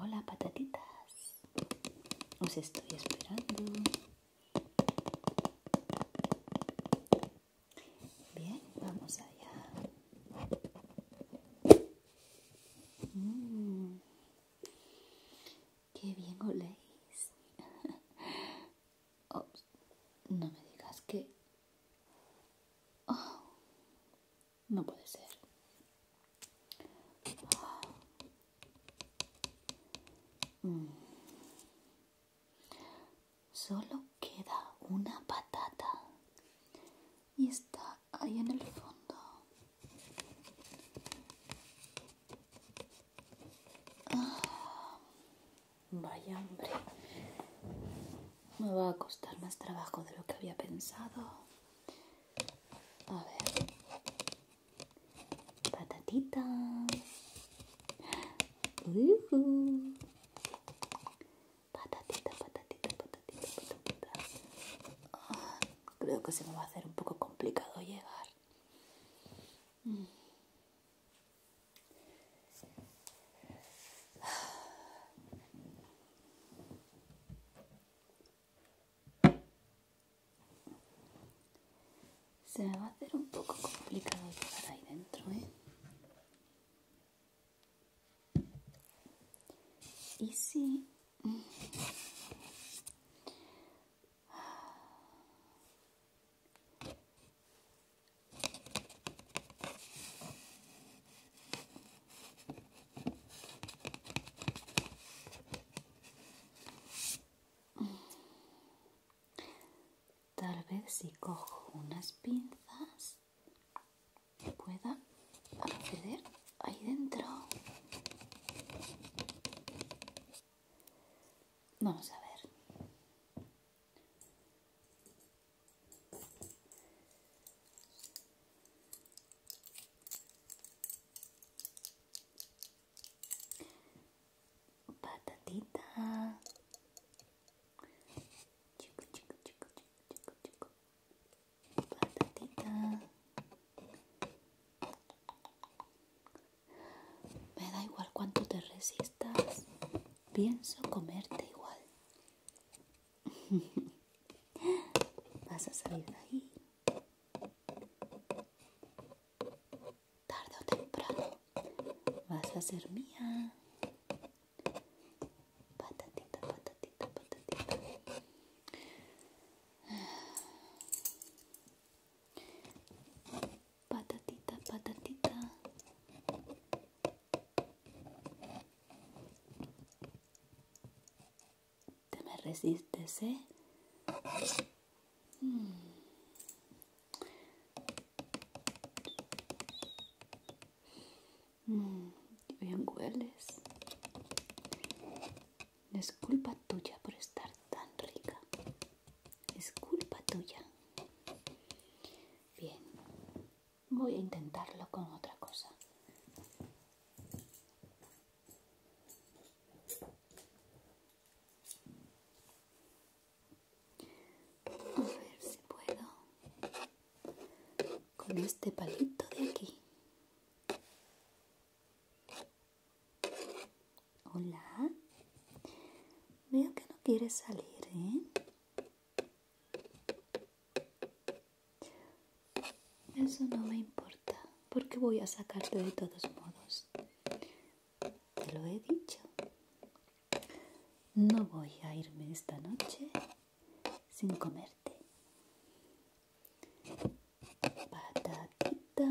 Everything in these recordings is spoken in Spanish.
Hola patatitas, os estoy esperando. Bien, vamos allá. Mm. qué bien oléis. no me digas que Oh. no puede ser. Oh. Mm. Solo queda una patata y está ahí en el fondo. Ah. vaya hambre me va a costar más trabajo de lo que había pensado. A ver. Patatita. Patatita, patatita, patatita, patatita. Ah, creo que se me va a hacer un poco complicado llegar. Mm. Se me va a hacer un poco complicado llegar ahí dentro, ¿eh? Y si... Tal vez si cojo unas pinzas pueda acceder ahí dentro. Vamos a ver. Patatita. Chico, chico, chico, chico, chico, chico. Patatita. Me da igual cuánto te resistas. Pienso comerte igual. Vas a salir de ahí. Tarde o temprano vas a ser mía. Patatita, patatita, patatita. Patatita, patatita. Te me resistes, ¿eh? Mm. mm bien hueles. Es culpa tuya por estar tan rica. Es culpa tuya. Bien voy a intentarlo con otra cosa a ver si puedo con este palito de aquí hola veo que no quiere salir ¿eh? Eso no me importa, porque voy a sacarte de todos modos. Te lo he dicho. No voy a irme esta noche sin comerte. Patatita.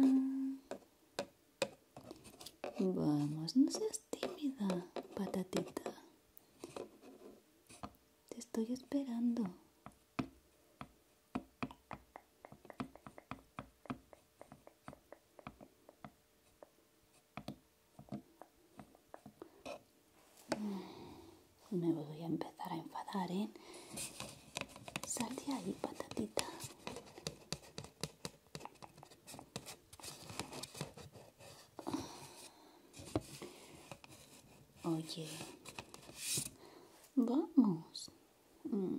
Vamos, no seas tímida, patatita. Te estoy esperando. Mm, me voy a empezar a enfadar, ¿eh? Sal de ahí, patatita. Oye, vamos. Mm.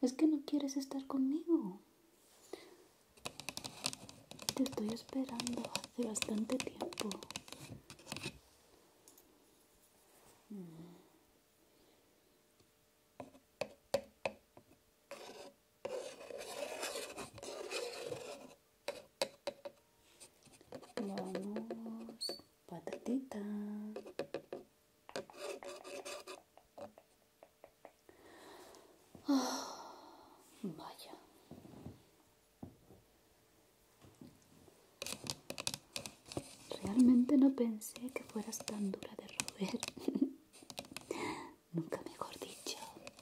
Es que no quieres estar conmigo. Te estoy esperando hace bastante tiempo. Vamos, patatita. Ah, vaya. Realmente no pensé que fueras tan dura de roer. Nunca mejor dicho.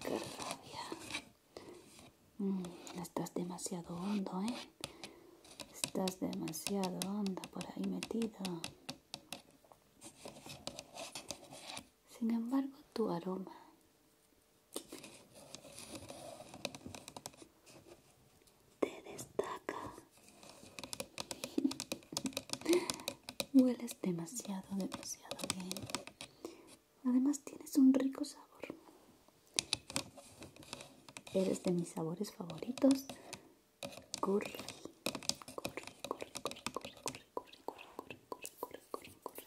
¡Qué rabia! Mm, estás demasiado hondo, ¿eh? Estás demasiado hondo por ahí metido. Sin embargo, tu aroma te destaca. Hueles demasiado demasiado bien. Además tienes un rico sabor. Eres de mis sabores favoritos. Corre, corre, corre, corre, corre, corre, curry, curry, curry, curry, curry,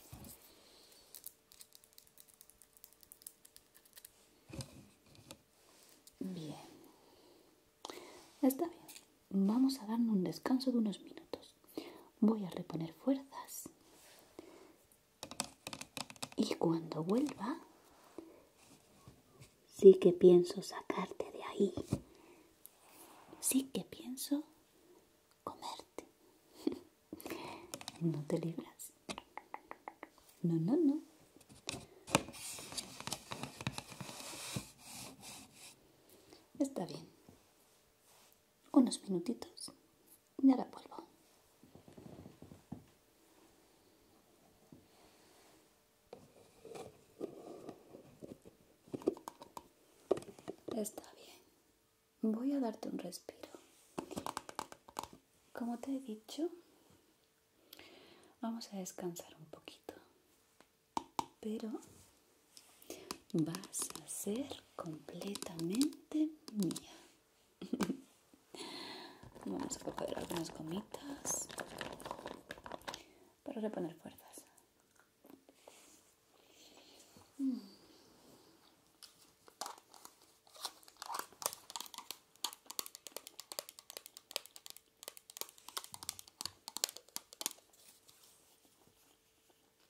Bien. Está bien vamos a darnos un descanso de unos minutos. Voy a reponer fuerzas. Y cuando vuelva, sí que pienso sacarte de ahí. Sí que pienso comerte. no te libras. No, no, no. Está bien unos minutitos y la vuelvo. Está bien. Voy a darte un respiro. Como te he dicho, vamos a descansar un poquito pero vas a ser completamente mía. Vamos a coger algunas gomitas para reponer fuerzas.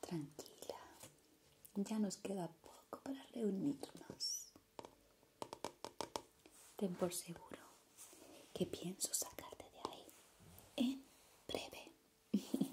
Tranquila, ya nos queda poco para reunirnos. Ten por seguro que pienso sacarte de ahí en breve.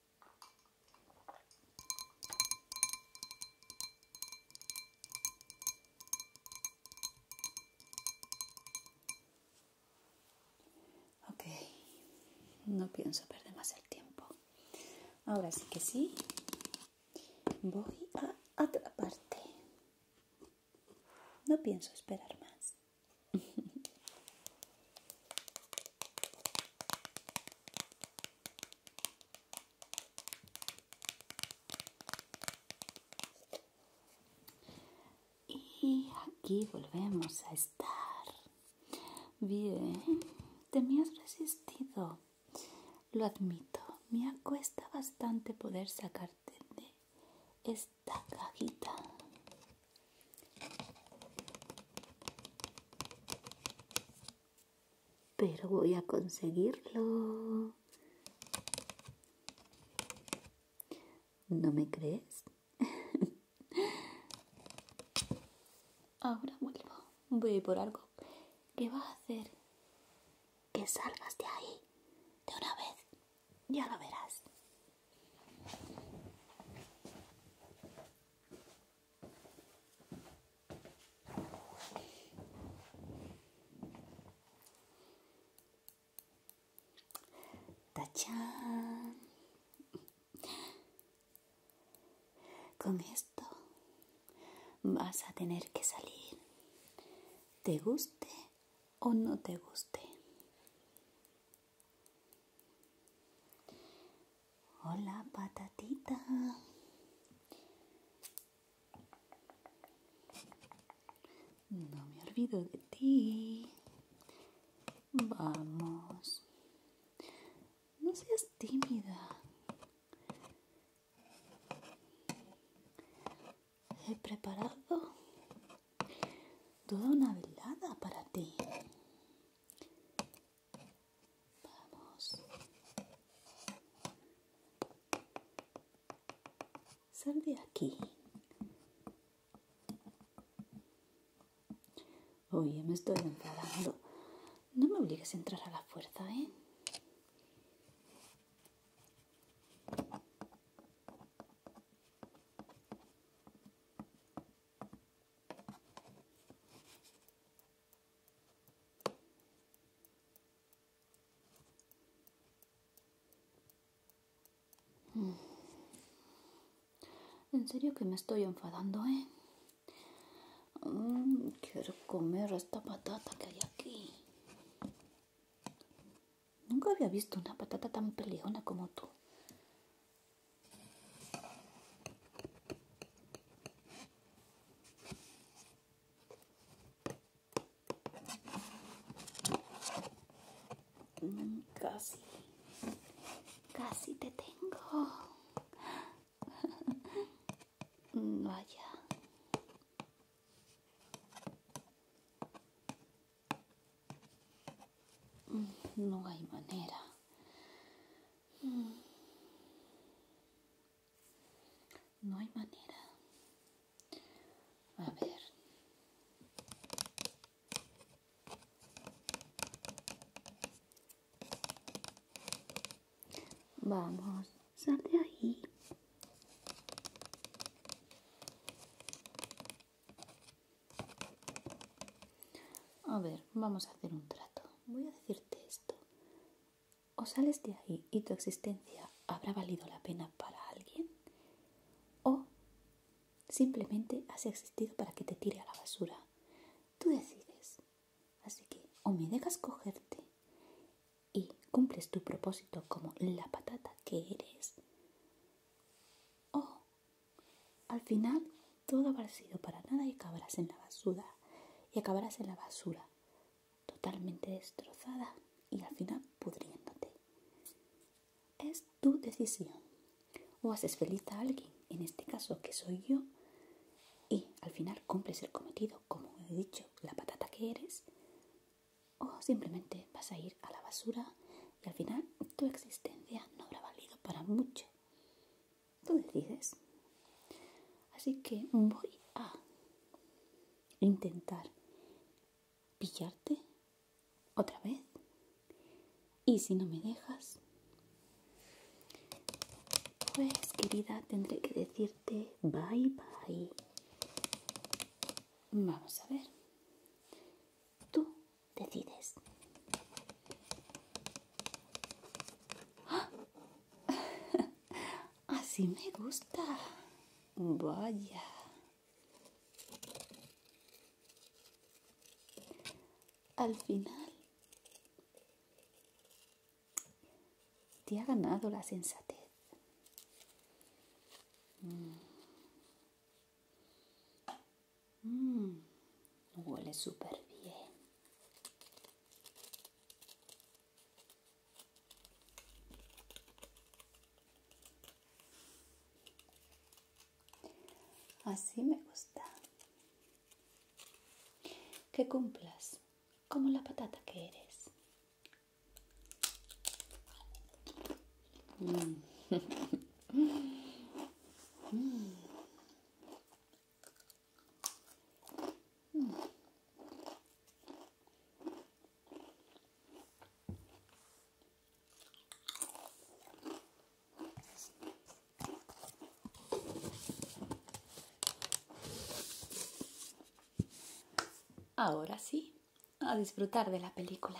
Ok, no pienso perder más el tiempo. Ahora sí que sí, voy a otra parte. No pienso esperar más. Y aquí volvemos a estar. Bien, te me has resistido. Lo admito, me cuesta bastante poder sacarte de esta cajita pero voy a conseguirlo. ¿No me crees? Ahora vuelvo. Voy por algo. que va a hacer? Que salgas de ahí. De una vez. Ya lo verás. Con esto vas a tener que salir, te guste o no te guste. Hola, patatita. No me olvido de ti. Vamos. No seas tímida. He preparado toda una velada para ti. Vamos. Sal de aquí. Oye, me estoy enfadando. No me obligues a entrar a la fuerza, ¿eh? Mm. En serio que me estoy enfadando, ¿eh? Mm, quiero comer esta patata que hay aquí. Nunca había visto una patata tan peleona como tú. Casi, casi te tengo. Vaya. Mm, no hay manera. Mm. No hay manera. A ver. Vamos, sal ahí. A ver, vamos a hacer un trato. Voy a decirte o sales de ahí y tu existencia habrá valido la pena para alguien, o simplemente has existido para que te tire a la basura. Tú decides. Así que o me dejas cogerte y cumples tu propósito como la patata que eres, o al final todo habrá sido para nada y acabarás en la basura. Y acabarás en la basura, totalmente destrozada y al final pudriéndote. Es tu decisión. O haces feliz a alguien, en este caso que soy yo, y al final cumples el cometido, como he dicho, la patata que eres, o simplemente vas a ir a la basura y al final tu existencia no habrá valido para mucho. Tú decides. Así que voy a intentar pillarte otra vez. Y si no me dejas, pues querida, tendré que decirte bye bye. Vamos a ver. Tú decides. ¡Ah! Así me gusta. Vaya. Al final, te ha ganado la sensatez. Mm. Mm. Huele súper bien. Así me gusta. Que cumplas como la patata que eres. Mm. Ahora sí, a disfrutar de la película.